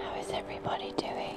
How is everybody doing?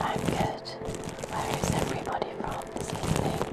I'm good. Where is everybody from this evening?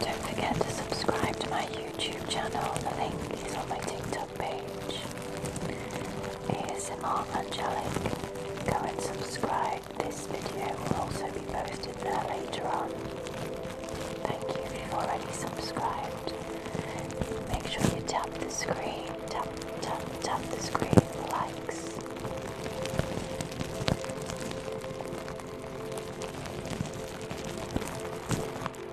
Don't forget to subscribe to my YouTube channel. The link is on my TikTok page. ASMR Angelic. Go and subscribe. This video will also be posted there later on. Thank you if you already subscribed. Make sure you tap the screen. Tap, tap, tap the screen for likes.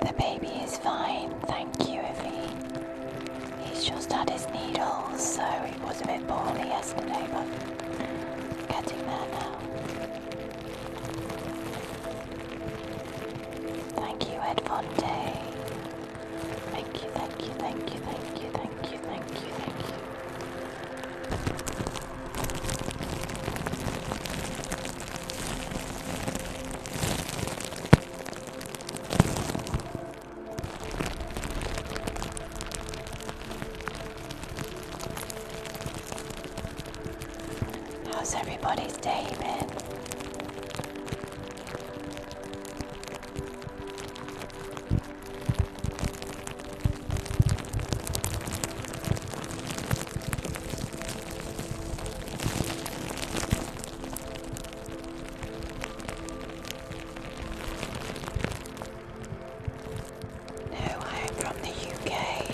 The baby is fine, thank you, Evie. He's just had his needles, so he was a bit poorly yesterday, but getting there now. Thank you, Ed Fonte. Thank you, thank you, thank you, thank you, thank you, thank you, thank you. How's everybody's day been? No, I am from the UK.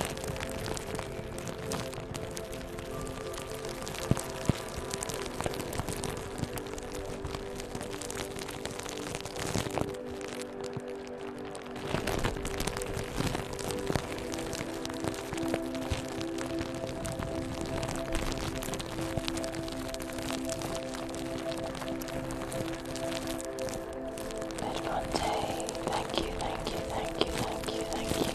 Monte, thank you, thank you, thank you, thank you, thank you.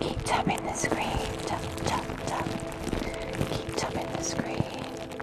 Keep tapping the screen, tap, tap, tap. Keep tapping the screen.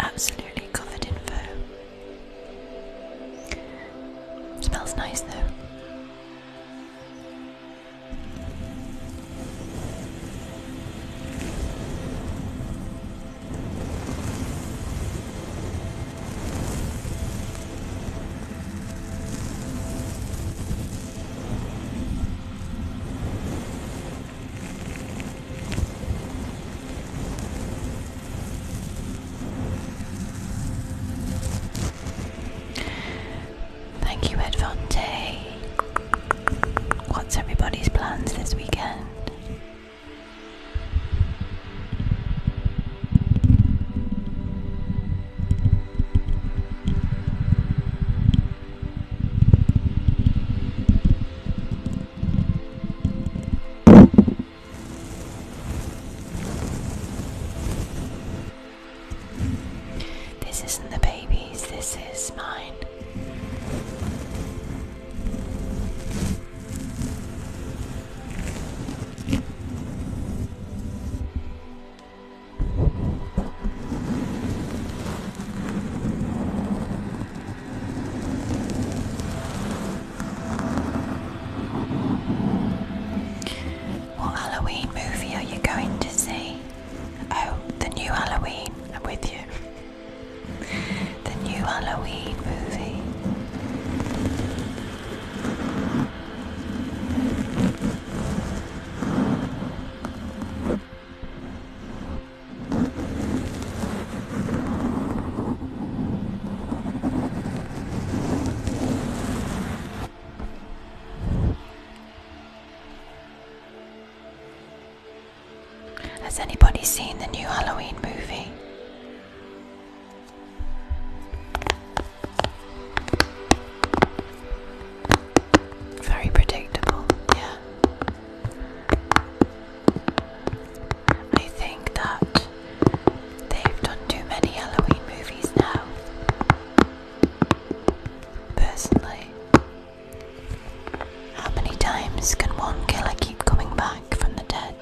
Absolutely covered in fur. Smells nice though. Thank you, Edvante. What's everybody's plans this weekend? This isn't the baby's, this is mine. What Halloween movie are you going to see? Oh, the new Halloween. I'm with you. the new Halloween movie. Has anybody seen the new Halloween movie? Very predictable, yeah. I think that they've done too many Halloween movies now. Personally, how many times can one killer keep coming back from the dead?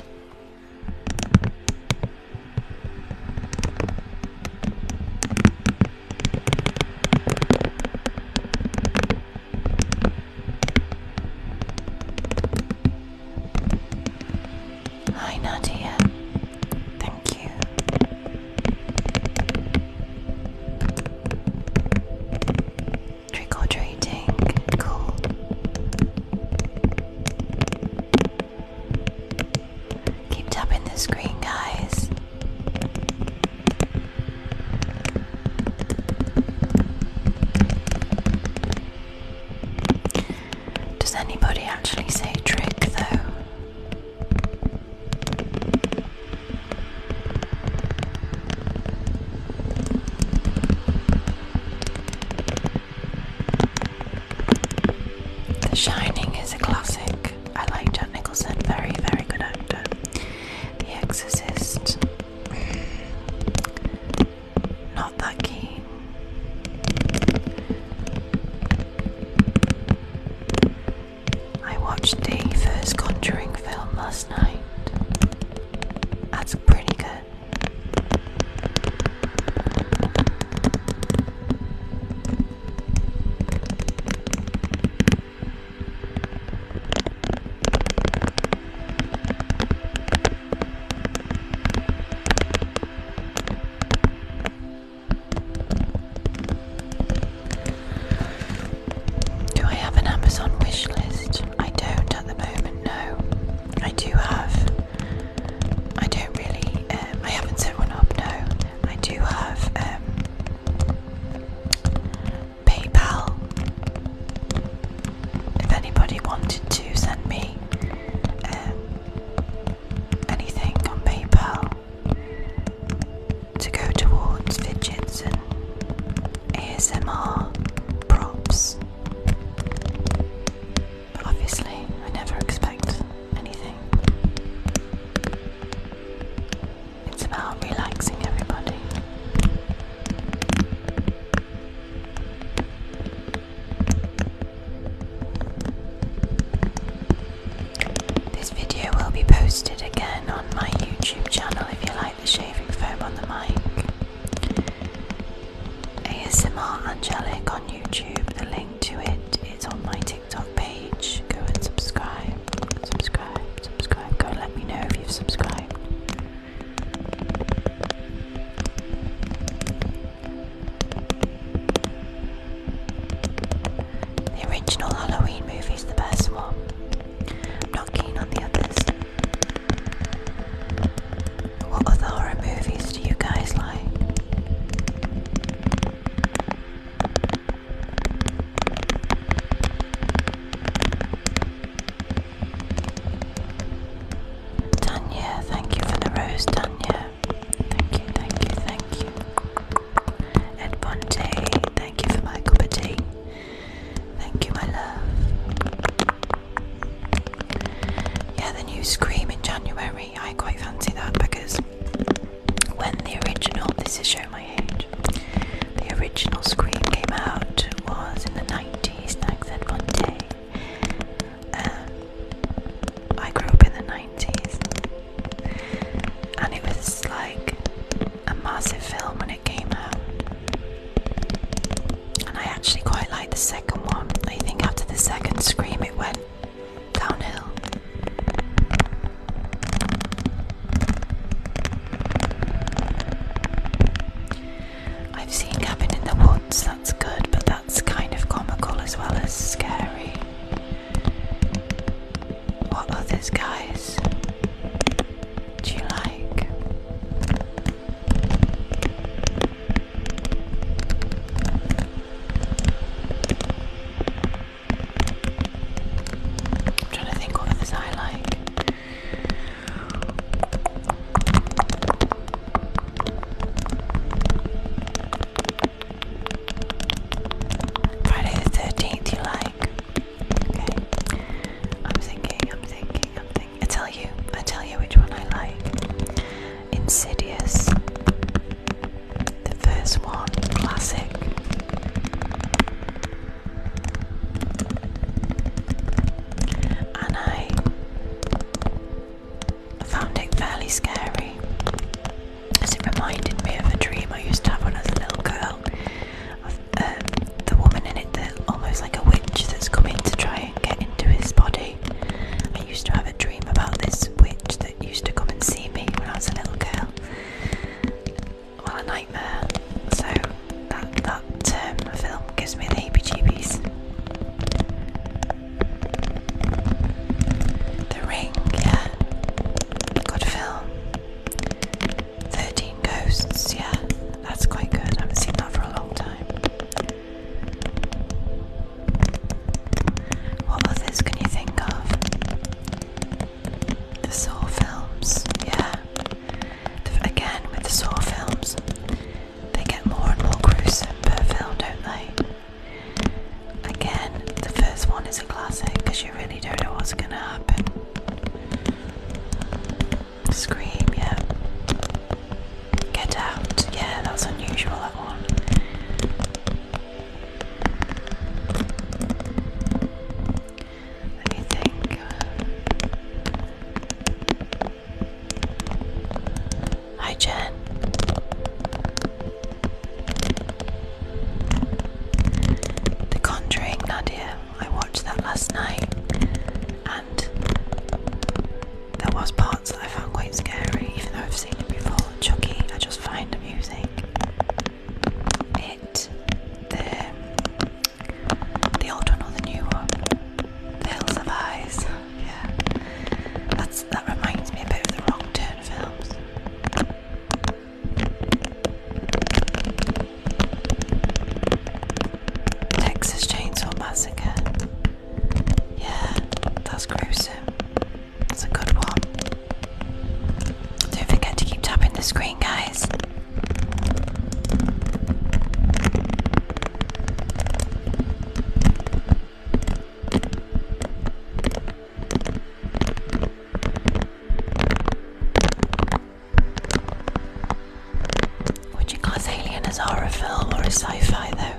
Hi, Nadia. Thank you. Trick or treating. Cool. Keep tapping the screen, guys. Does anybody actually say trick though? The Shining is a classic. I like Jack Nicholson, very, very good actor. The Exorcist, not that keen. I watched the first Conjuring film last night. That's pretty good. Do I have an Amazon wish list? I don't at the moment, no. I do have. I don't really. Um, I haven't set one up, no. I do have um, PayPal. If anybody wanted to send me um, anything on PayPal to go towards fidgets and ASMR props. But obviously, I never expect anything. It's about relaxing everybody. This video will be posted again on my YouTube channel if you like the shaving foam on the mic. ASMR Angelic on YouTube, the link to it is on my TV. TikTok page. Go and subscribe. Subscribe, subscribe. Go let me know if you've subscribed. The original Halloween movie is the best one. not keen on the others. What other horror movies do you guys like? Tanya, thank you for the rose, Tanya. Thank you, thank you, thank you. Ed thank you for my cup Thank you, my love. Yeah, the new Scream in January. I quite fancy that because when the original, this is showing my age, the original Scream came out was in the 90s, Nags Ed Monte. Um, I grew up in the 90s and it was like a massive film when it came out. And I actually quite liked the second one. I think after the second Scream it went downhill. I've seen cabin in the woods, that's good, but that's kind of comical as well as scary. What others, guys, do you like? I'm trying to think what others I like. Friday the 13th, you like? Okay. I'm thinking, I'm thinking, I'm thinking. I tell you, I tell you which one I like. Insidious. The first one, classic and I found it fairly scary as it reminded me of a dream I used to have when I was a little girl um, the woman in it that almost like a witch that's coming to try and get into his body. I used to have a dream about this witch that used to come and see me when I was a little girl well a nightmare. So that that um, film gives me the heebie-jeebies. The Ring, yeah, good film. Thirteen Ghosts, yeah, that's quite good. I haven't seen that for a long time. What others can you think of? The Saw films, yeah. again, with the Saw films, they get more and more gruesome per film, don't they? Again, the first one is a classic because you really don't know what's going to happen. Scream, yeah. Get out, yeah, that's unusual, that one. Hi, Jen. The Conjuring, Nadia. I watched that last night, and there was parts that I found quite scary, even though I've seen it before. Chucky, I just find amusing it the the old one or the new one. The Hills of Eyes. Yeah. That's that reminds me a bit of the wrong turn films. Texas Chainsaw Massacre. Yeah, that's gruesome. That's a good one. Don't forget to keep tapping the screen, guys. Would you class Alien as horror film or a sci fi, though?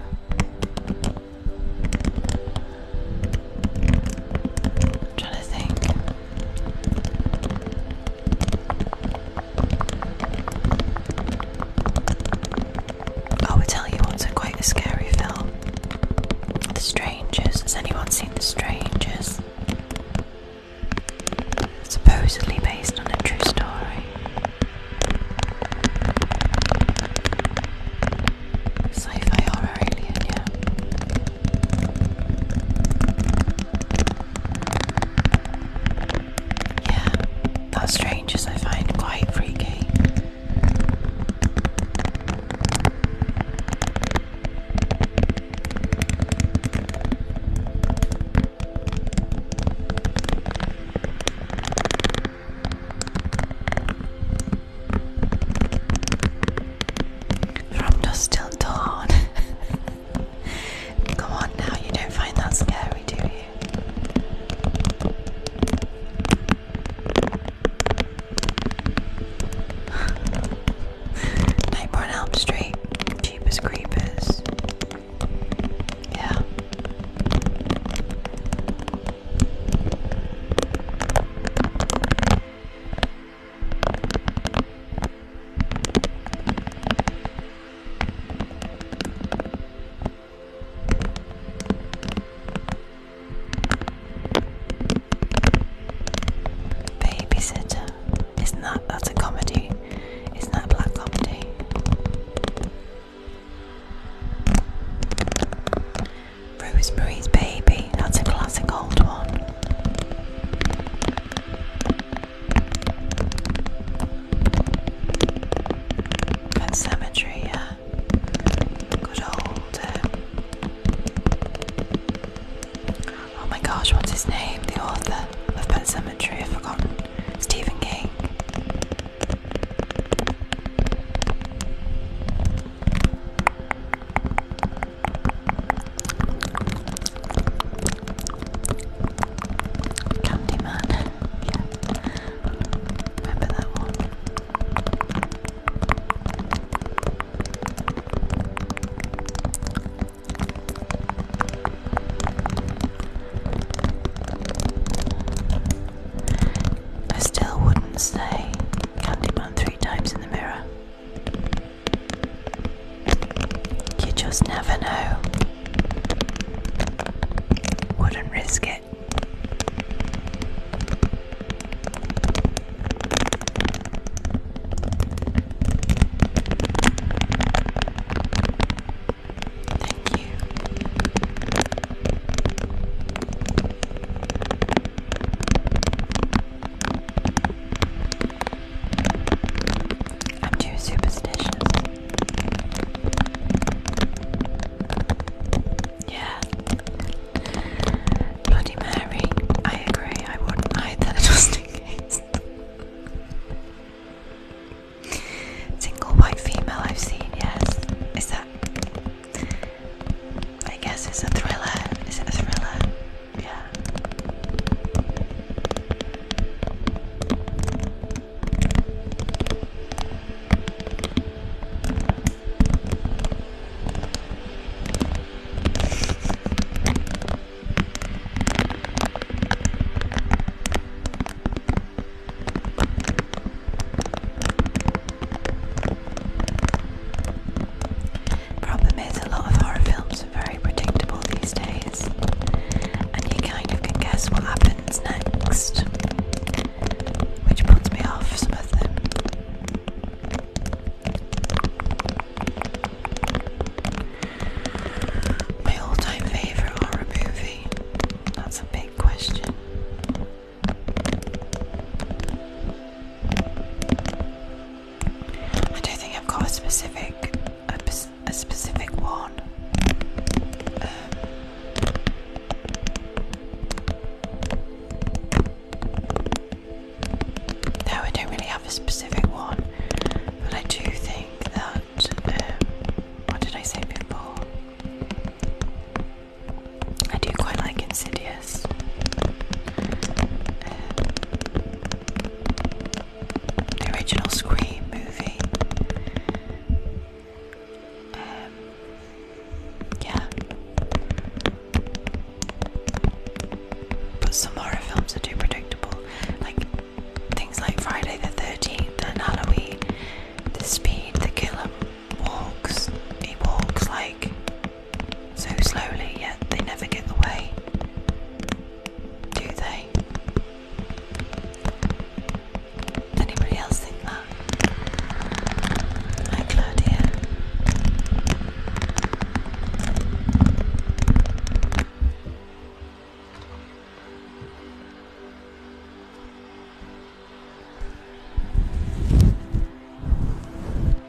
trying to think. I will tell you what's a quite a scary film. The Strangers. Has anyone seen The Strangers? Supposedly based on a true story. Sci fi horror alien, yeah. Yeah, that's strangers I find quite freaky. From dusk till dawn. Come on now, you don't find that scary, do you? Nightmare Elm Street, cheapest creepers. Yeah. Babysitter. Isn't that that's a comedy? Isn't that a black comedy? Rosemary's Baby. That's a classic old one. Pen cemetery, yeah. Good old. Uh, oh my gosh, what's his name? The author of Pen Cemetery, I've forgotten. Stephen King. Candyman, yeah. Remember that one? I still wouldn't say Candyman three times in the mirror. You just never know. Wouldn't risk it. Thank you. I'm too superstitious. Yeah. Bloody Mary. I agree. I wouldn't Single white female I've seen, yes. Is that I guess it's a thriller. Is a thriller? Yeah. Problem is, a lot of horror films very predictable these days, and you kind of guess what happens next, which puts me off some My all time favourite horror movie? That's a big question. I don't think I've got a specific a, specific one. Um, no, I don't really have a specific one, but I do think that. Um, what did I say before? I do quite like Insidious. Um, the original Scream movie. Um, yeah. But some horror films are too predictable, like things like Friday the 13th and Halloween. The speed the killer walks, he walks like so slowly, yet they never get away, do they? Anybody else think that? Hi, Claudia.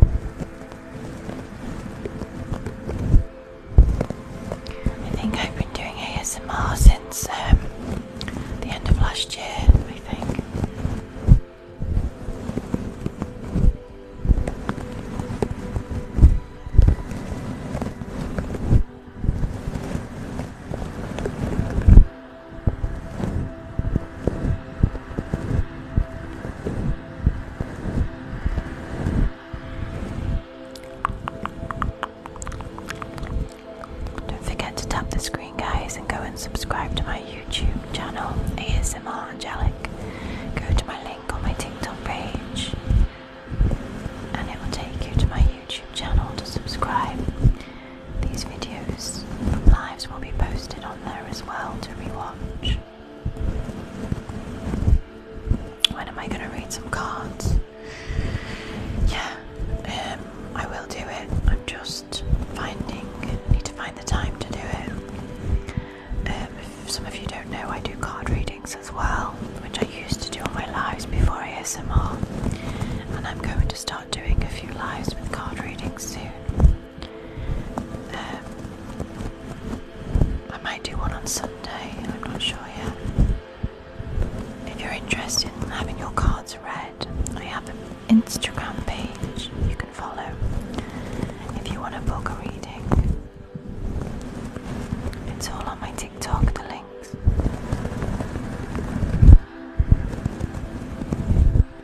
I think I've been doing ASMR since um, the end of last year, I think. Don't forget to tap the screen, guys, and go and subscribe to my YouTube channel, ASMR Angelic. Go to my link on my TikTok page, and it will take you to my YouTube channel to subscribe. These videos lives will be posted on there as well to rewatch. When am I gonna read some cards? Yeah, um, I will do it. I'm just finding, need to find the time to do it. Um, if some of you don't know, I do card readings as well, which I used to do on my lives before ASMR, and I'm going to start doing a few lives with card readings soon. Um, I might do one on Sunday, I'm not sure yet. If you're interested in having your cards read, I have an Instagram page you can follow if you want to book a reading. It's all on my TikTok, the links.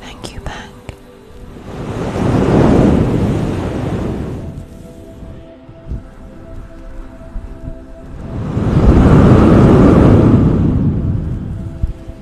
Thank you, Bank.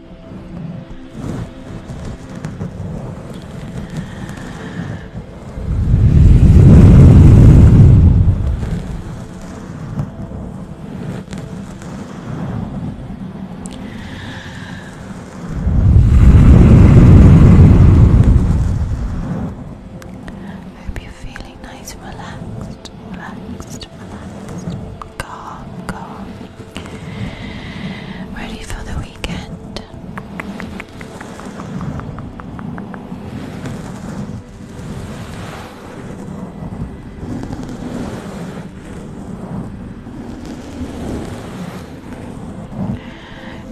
Hope you're feeling nice, relaxed, relaxed, relaxed, calm, calm ready for the weekend.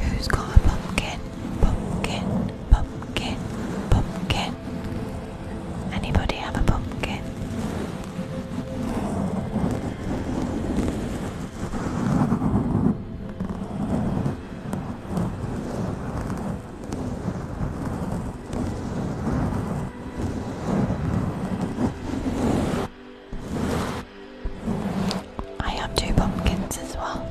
Who's got a pumpkin? Pumpkin, pumpkin, pumpkin. Anybody have a pumpkin? I have two pumpkins as well.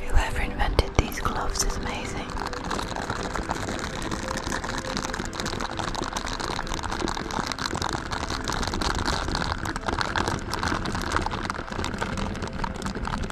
Whoever invented these gloves is amazing.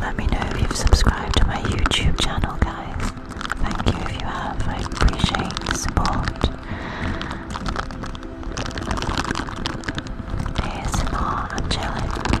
Let me know if you've subscribed to my YouTube channel, guys. Thank you if you have. I appreciate the support. ASMR, I'm chilling.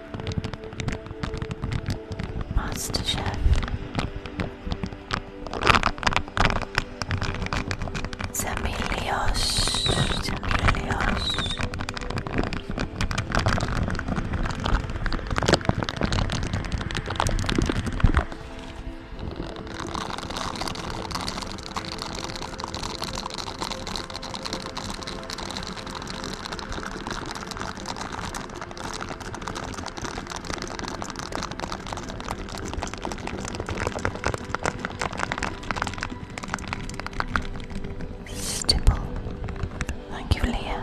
Master Chef. Zemilios. Zemilios. Stipple. Thank you, Leah.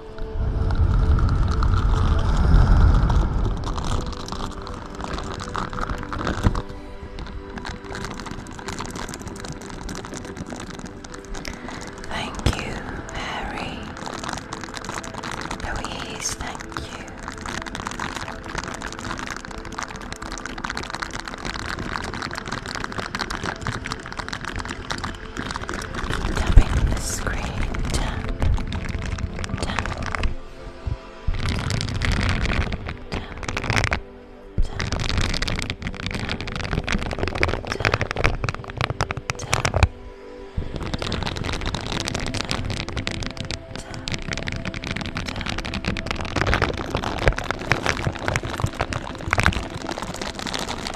Thank you, Mary. Louise, thank you tapping on the screen.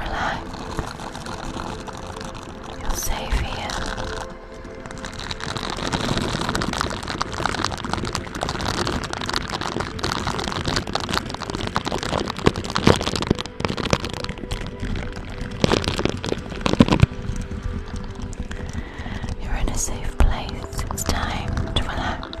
Relax. You're safe here. You're in a safe place. It's time to relax.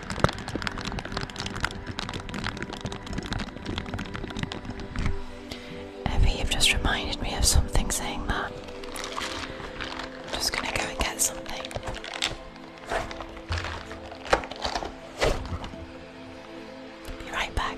Evie, you've just reminded me of something saying that. I'm just gonna go and get something. Be right back.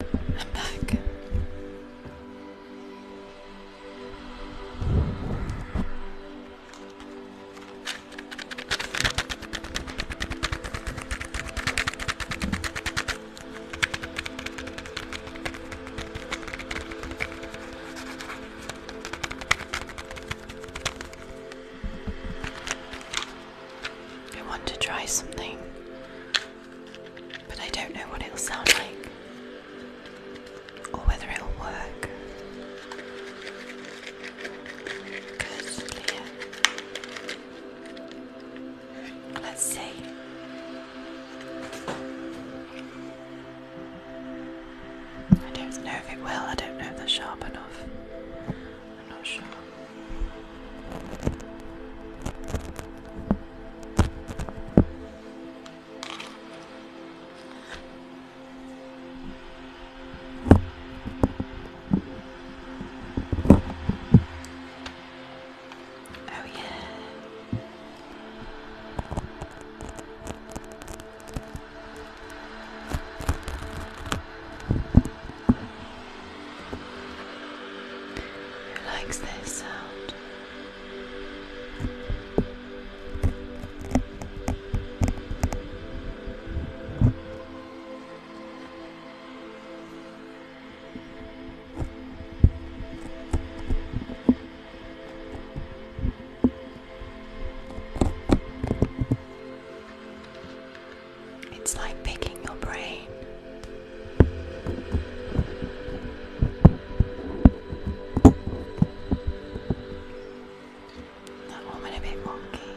I'm back. I want to try something but I don't know what it'll sound like or whether it'll work. Let's see. I don't know if it will, I don't know if they're sharp enough. I'm not sure. Oh, yeah. Who likes this sound? It's like picking your brain That one went a bit wonky.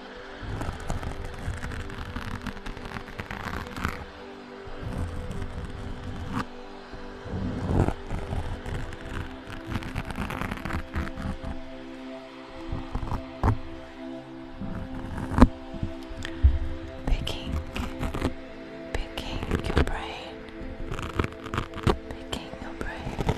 Picking, picking your brain, picking your brain.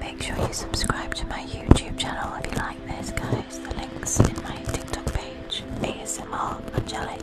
Make sure you subscribe to my YouTube channel if you like this, guys. The link's in my TikTok page, ASMR Angelic.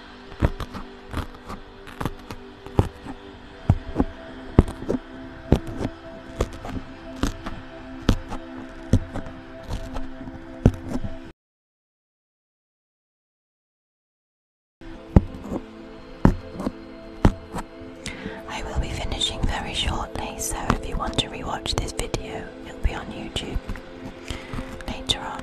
I will be finishing very shortly, so if you want to rewatch this video, it'll be on YouTube later on.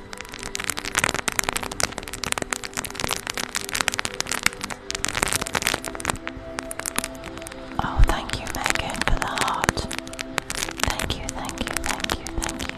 Oh, thank you, Megan, for the heart. Thank you, thank you, thank you, thank you.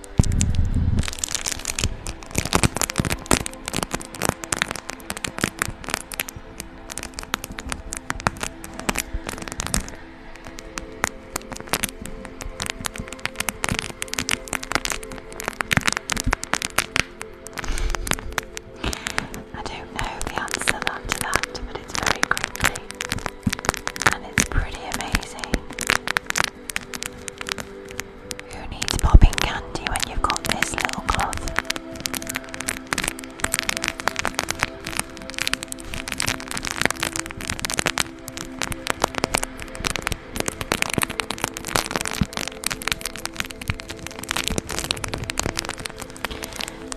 I don't know the answer to that, but it's very crinkly and it's pretty amazing. Who needs popping candy when you've got this little cloth?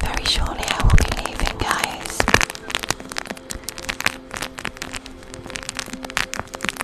Very shortly I will be leaving, guys.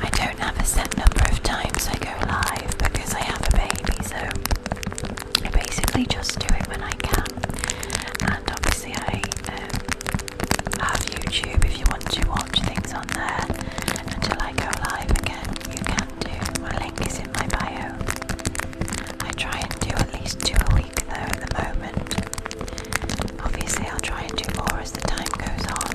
I don't have a set number of times I go live because I have a baby, so I basically just do it when I can. And obviously, I um, have YouTube if you want to watch things on there until I go live again. You can do. My link is in my bio. I try and do at least two a week though at the moment. Obviously, I'll try and do more as the time goes on.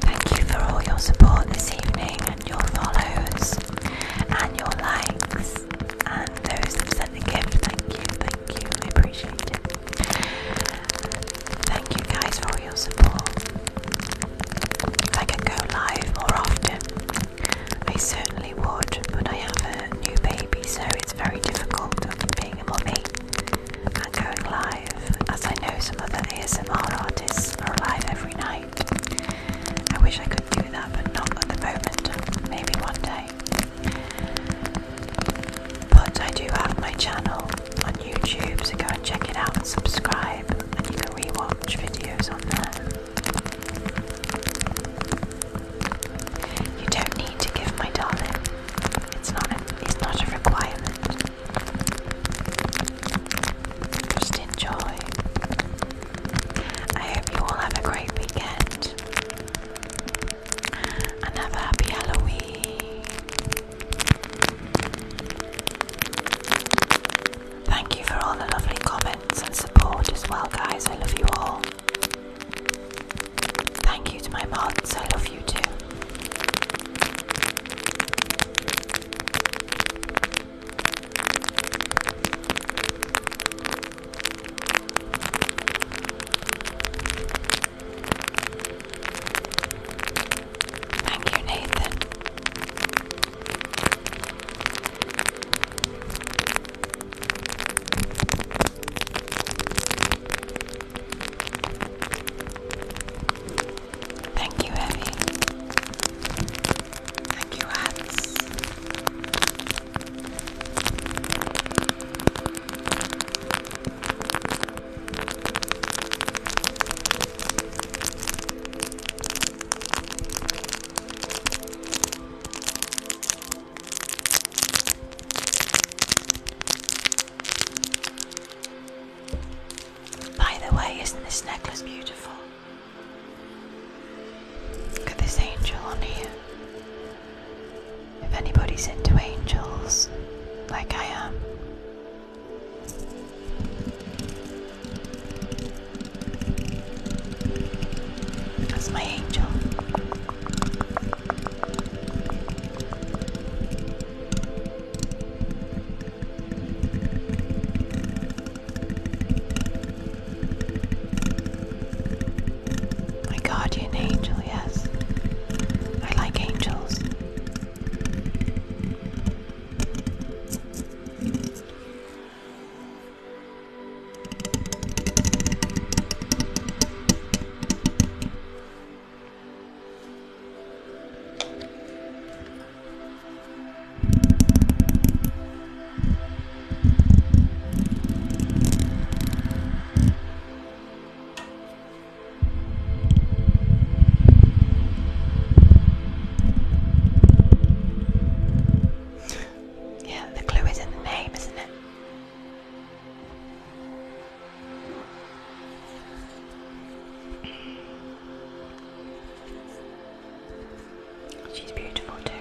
Thank you for all your support this evening and your follows and your likes and those that sent the gift. Thank you, thank you, I appreciate it. Thank you guys for all your support. If I could go live more often, I certainly would, but I have a new baby so it's very difficult being a mummy and going live as I know some other ASMR artists are alive every night. I wish I could do that, but not at the moment, maybe one day. But I do have my channel on YouTube, so go and check it out and subscribe, and you can rewatch videos on there. You don't need to give my darling. It's not. it's not a requirement. Just enjoy. I hope you all have a great weekend and happy Halloween. Thank you for all the lovely comments and support as well, guys. I love you all. Thank you to my mods, I love you too. Thank you, Nathan. Thank you, Evie. Thank you, Hats. By the way, isn't this necklace beautiful? Look at this angel on here. If anybody's into angels, like I am, that's my angel. My guardian angel, yes. I like angels. Yeah, the clue is in the name, isn't it? She's beautiful too.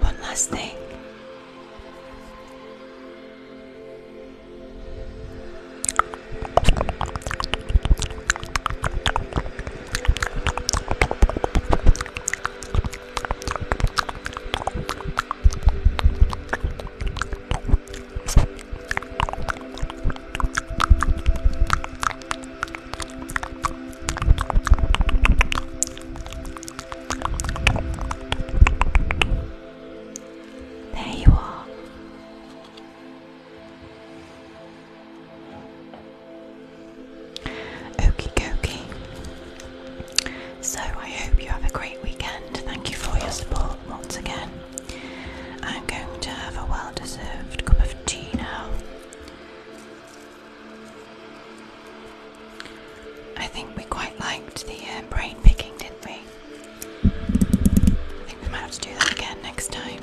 One last thing. There you are. Okie dokie. So I hope you have a great weekend. Thank you for your support once again. I'm going to have a well deserved cup of of Gino. I think we quite liked the uh, brain picking, didn't we? I think we might have to do that again next time.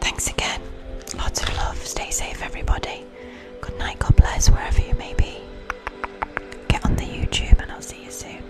Thanks again. Lots of love. Stay safe, everybody. Good night. God bless wherever you may be. Get on the YouTube, and I'll see you soon.